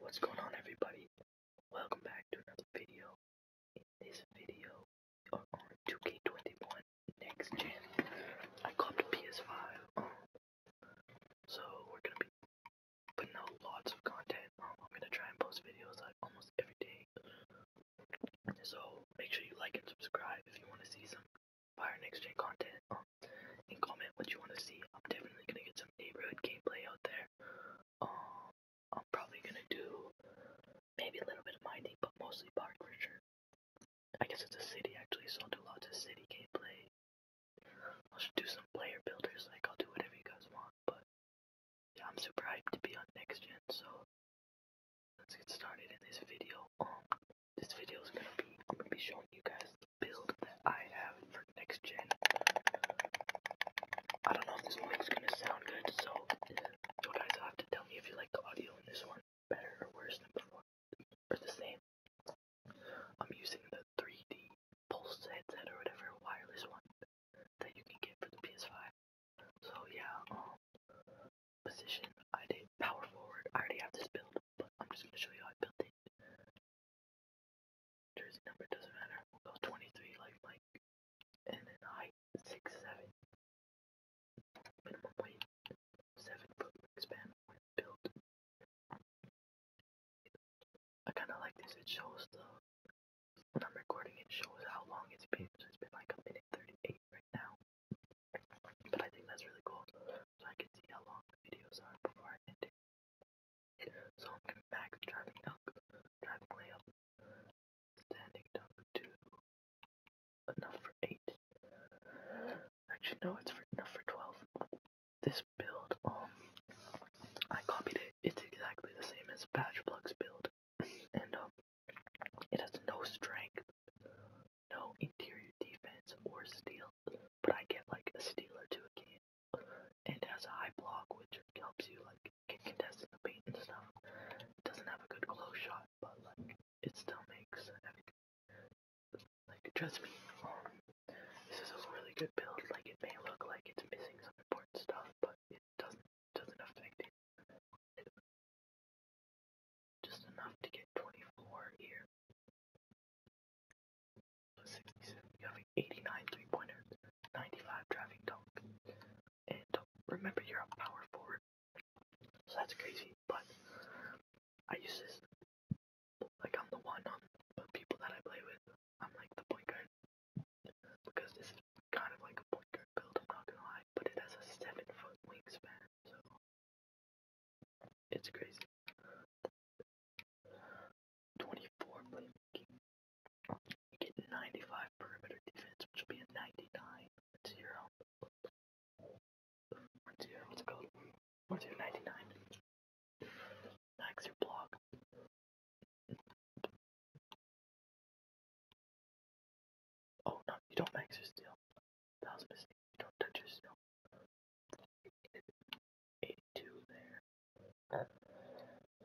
What's going on everybody? Welcome back to another video. In this video, we are on 2K21 Next Gen. I got the PS5, um, so we're gonna be putting out lots of content. Um, I'm gonna try and post videos like almost every day. So make sure you like and subscribe if you want to see some Fire Next Gen content. Um, and comment what you want to see. I'm definitely gonna get some neighborhood gameplay out there. Um, I'm probably gonna do maybe a little bit of mining, but mostly park for sure. I guess it's a city actually, so I'll do lots of city gameplay. I'll just do some player builders, like I'll do whatever you guys want, but yeah, I'm super hyped to be on next gen, so let's get started in this video. Um, this video is gonna be, I'm gonna be showing you guys build that I have for next gen. I don't know if this mic's gonna sound good, so you guys have to tell me if you like the audio in this one better or worse than before, or the same. I'm using the 3D Pulse headset or whatever wireless one that you can get for the PS5. So yeah, um, position I did power forward. I already have this build but I'm just gonna show you how I built it. Jersey number doesn't matter. We'll go 23 like Mike, and then height six seven. Minimum weight seven foot wingspan when built. I kind of like this. It shows the when I'm recording. It shows how long it's been. So it's been like a minute 38 right now. But I think that's really cool, so I can see how long the videos are before I end it. So I'm back driving duck, driving layup, standing duck two, enough for eight. Actually, no, it's for enough for twelve. This build, um, I copied it. It's exactly the same as Patchplug's build, and um, it has no strength, no interior defense or steal, but I get like a steal or two a game, and has a high block, which helps you like get contested in the paint and stuff. It doesn't have a good close shot, but like it still makes everything. Like trust me, um, this is a really good build. Like it may look like it's missing some important stuff, but it doesn't doesn't affect it. Just enough to get 24 here. 67, you have 89 three pointers, 95 driving dunk, and remember you're a power forward, so that's crazy. But I use this like I'm the one on the people that I play with, I'm like the point guard because this is kind of like a point guard build, I'm not gonna lie, but it has a 7 foot wingspan, so it's crazy. 24 You get 95 perimeter defense, which will be a 99. 0. 1 0. What's it called? 1 99. Max your block. Oh no, you don't max your steal. That was a mistake. Don't touch your snow. Eighty-two there.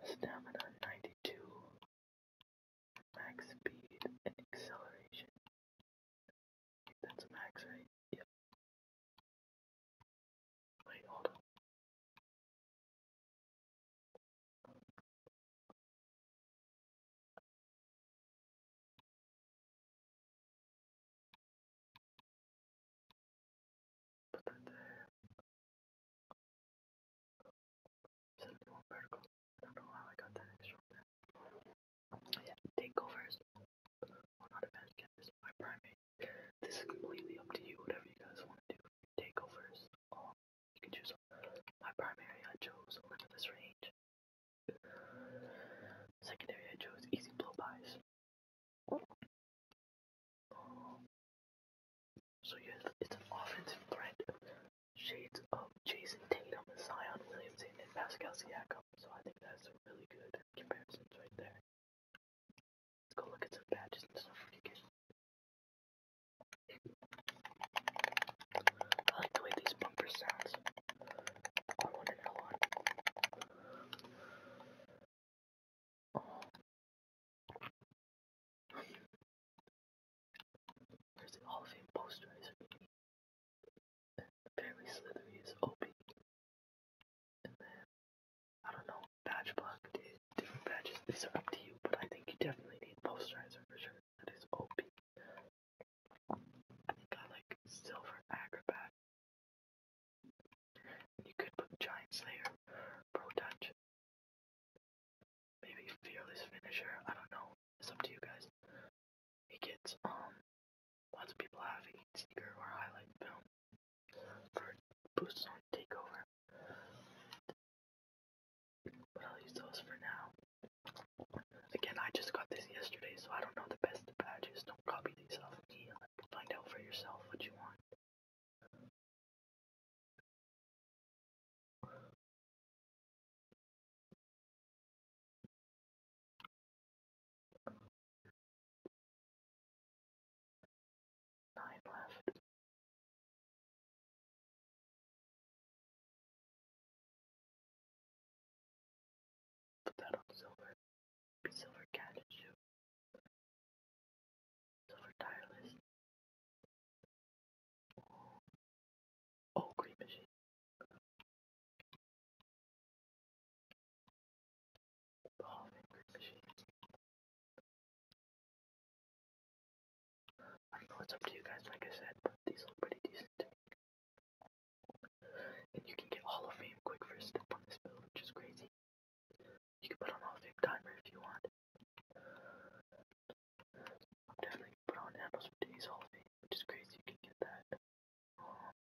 Stamina ninety-two. Max speed and acceleration. That's max, right? Yep. Wait, hold on. 71 vertical. I don't know how I got that extra one there. Yeah, takeovers. Well, not advanced canvas, my primate. This is completely up to you, whatever you guys want to do. Takeovers. Um, you can choose my primary. I chose limitless range. Secondary, I chose easy blow buys. So yes, it's an offensive threat. Shades of Jason Tatum, Zion Williamson, and Pascal Siakam. So I think that's a really good comparisons right there. Let's go look at some badges and stuff you get. I like the way these bumpers sounds. I want another one. Oh. There's the Hall of Fame poster, is really and apparently Slithery is OP. And then I don't know, badge block did different badges. These are up to you, but I think you definitely need posterizer for sure. That is OP. I think I like Silver Acrobat. You could put Giant Slayer, Pro Touch, maybe Fearless Finisher. I don't know. It's up to you guys. He gets um lots of people have heat seeker or highlight film for boosts on takeover. But I'll use those for now. Again, I just got this yesterday, so I don't know the best badges. Don't copy these off of me. Find out for yourself what you want. Nine left. Put that on silver. Be silver cat shoe. Silver tireless. Oh, green machine. Oh, green machine. I don't know what's up to you guys, like I said, but these look pretty decent too. And you can get Hall of Fame quick first step on this build, which is crazy. You can put on Hall of Fame timer if you want. I'm definitely gonna put on handles for days Hall of Fame, which is crazy. You can get that. Um,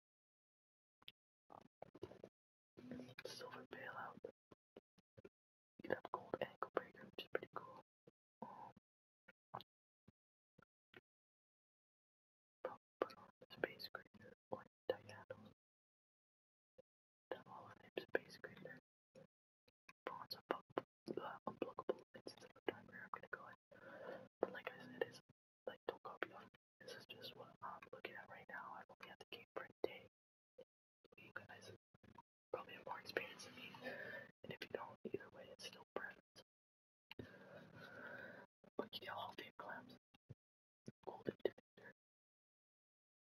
silver bailout. You can have gold ankle breaker, which is pretty cool. Put on the space grader on diagonals. The Hall of Fame space grader. Pawns are uh, unblockable instance of the timer. I'm gonna go ahead. But like I said, it's like don't copy off me. This is just what I'm looking at right now. I've only had the game for a day. You guys probably have more experience than me. And if you don't, either way, it's still preference. Bucky Hall of Fame collapse. Golden defender.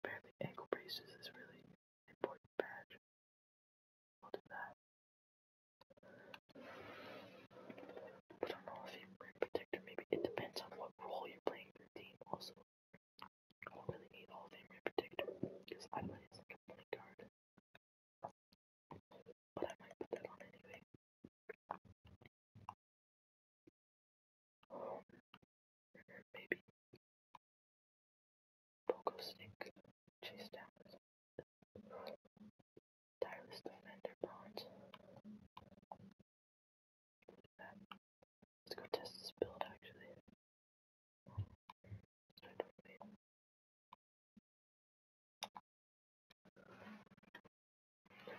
Apparently, ankle braces is really an important badge. I'll do that. But on Hall of Fame ring protector, maybe it depends on what role you're playing in your team. Also, I don't really need Hall of Fame ring protector because I play as like a point guard. But I might put that on anyway. Um, maybe. Pogo Snake, Chase Downs, Tireless Defender Bronze. Let's go test this build actually.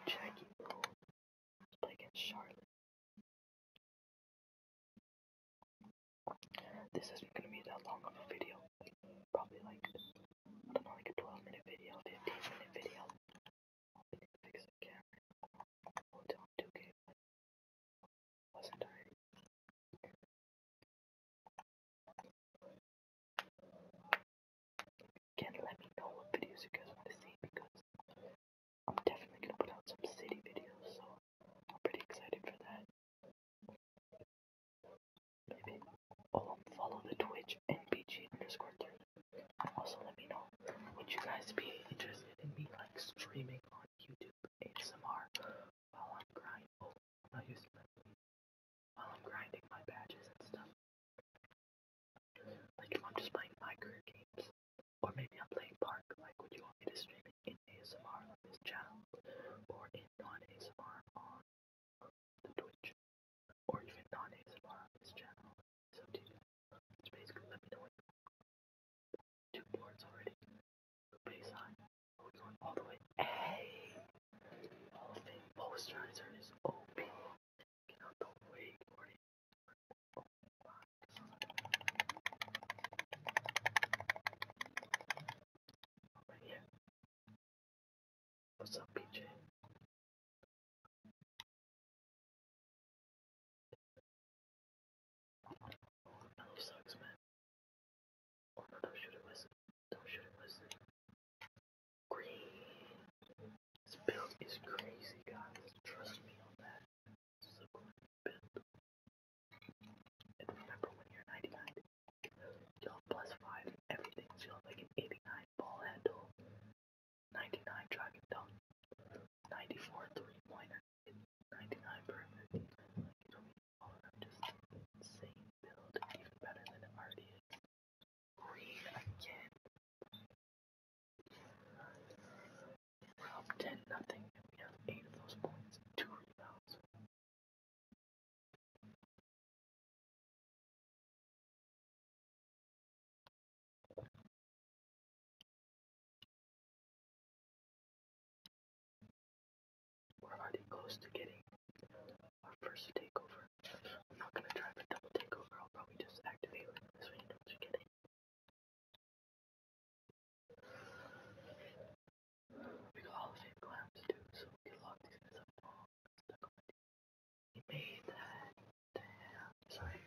Jackie Bull against Charlotte. This isn't gonna be that long of a video. probably like I don't know, like a 12 minute video, 15 minute video. Fix the camera. We'll do 2 positive Again, let me know what videos you guys want to see because I'm definitely gonna put out some city videos, so I'm pretty excited for that. Maybe follow the Twitch NBG also let me know would you guys be interested in me like streaming on YouTube ASMR while I'm grind oh, I used to while I'm grinding my badges and stuff. Like if I'm just playing my career games. Or maybe I'm playing Park, like would you want me to stream it in ASMR on this channel? Or in non-ASMR on the Twitch? Or even non-ASMR on this channel? So do you. Just basically let me know what you want two boards already. Base sign. we going all the way? Hey! Hall of Fame posterizer is OP. Get out the way, Gordy. What's up, PJ? He sucks, man. Oh no, don't shoot it, Wesley. Don't shoot it, Wesley. Green. This build is crazy, guys. Trust me on that. This is a great build. And remember when you're 99, you'll plus 5 everything, so you'll like an 89 ball handle, 99 dragon dunk, 94 three pointer, 99 perfect. Like, don't be all around just insane build, even better than it already is. Green again. We're up 10 nothing, and we have 8 of those points, 2 rebounds. We're already close to getting our first takeover. I'm not gonna try for double takeover, I'll probably just activate like this way we got all the same clams too, so we can lock these He made that. Sorry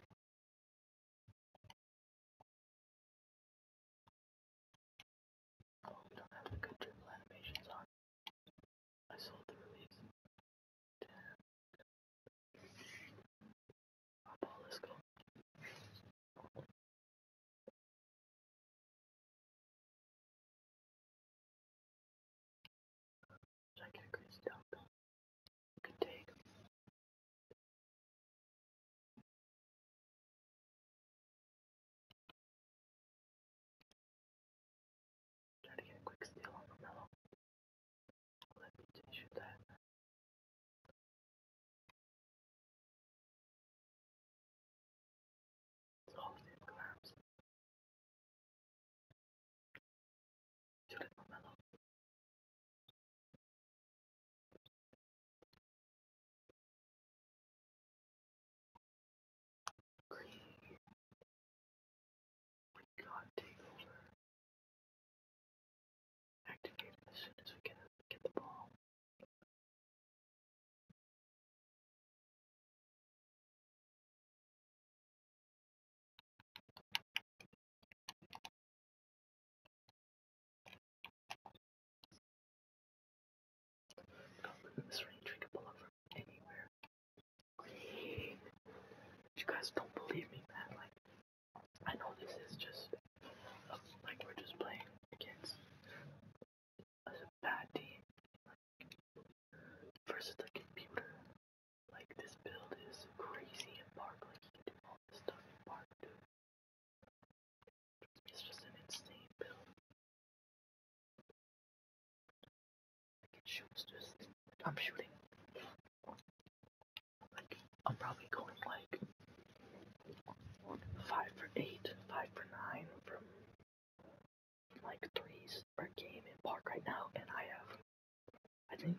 we don't have the good triple animations on. I sold the release. Damn. Hop all, let's I get crazy dump? We take Try to get a quick steal on the mellow. Let me shoot that. It's always in collapse. Shoot it, Mello. God take over. Activate it as soon as we get, get the ball. Come You guys don't believe me, man. Like, I know this is just uh, like we're just playing against a bad team versus the computer. Like, this build is crazy in Park. Like, you can all this stuff in Park, dude. It's just an insane build. Like it shoots just. I'm shooting. Like, I'm probably going like 5 for 8, 5 for 9 from like threes per game in park right now, and I have I think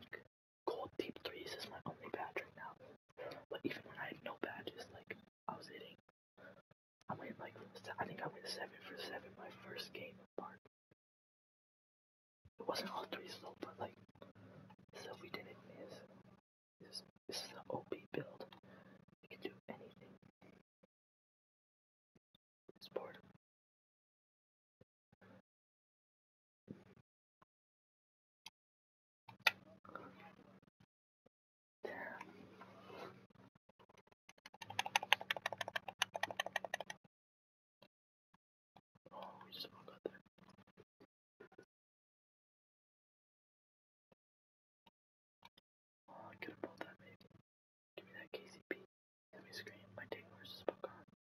Gold Deep Threes is my only badge right now. But even when I had no badges, like, I was hitting. I went, like, I think I went 7 for 7 my first game of Park. It wasn't all threes, though, but, like, so we didn't miss. This, is an OP build. We can do anything. This board. Oh, we just about got there. Oh, I could have pulled that maybe. Give me that KCP. Let me scream. My tape was just about gone.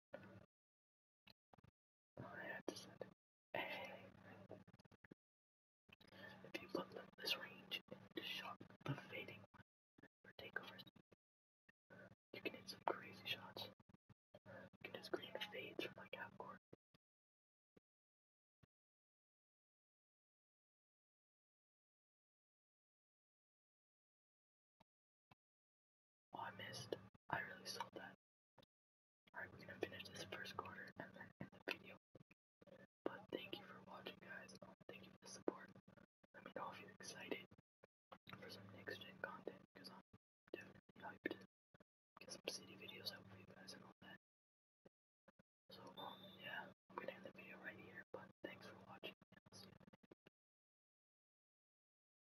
If you look at this range and shot the fading for takeovers, you can hit some crazy shots. You can green fades from like half court. Oh, I missed. I really sold that. Alright, we're gonna finish this first quarter and then end the video. But thank you for watching, guys. Um, thank you for the support. Let me know if you're excited for some next gen content because I'm definitely hyped get some city videos out for you guys and all that. So, um, yeah, I'm gonna end the video right here. But thanks for watching,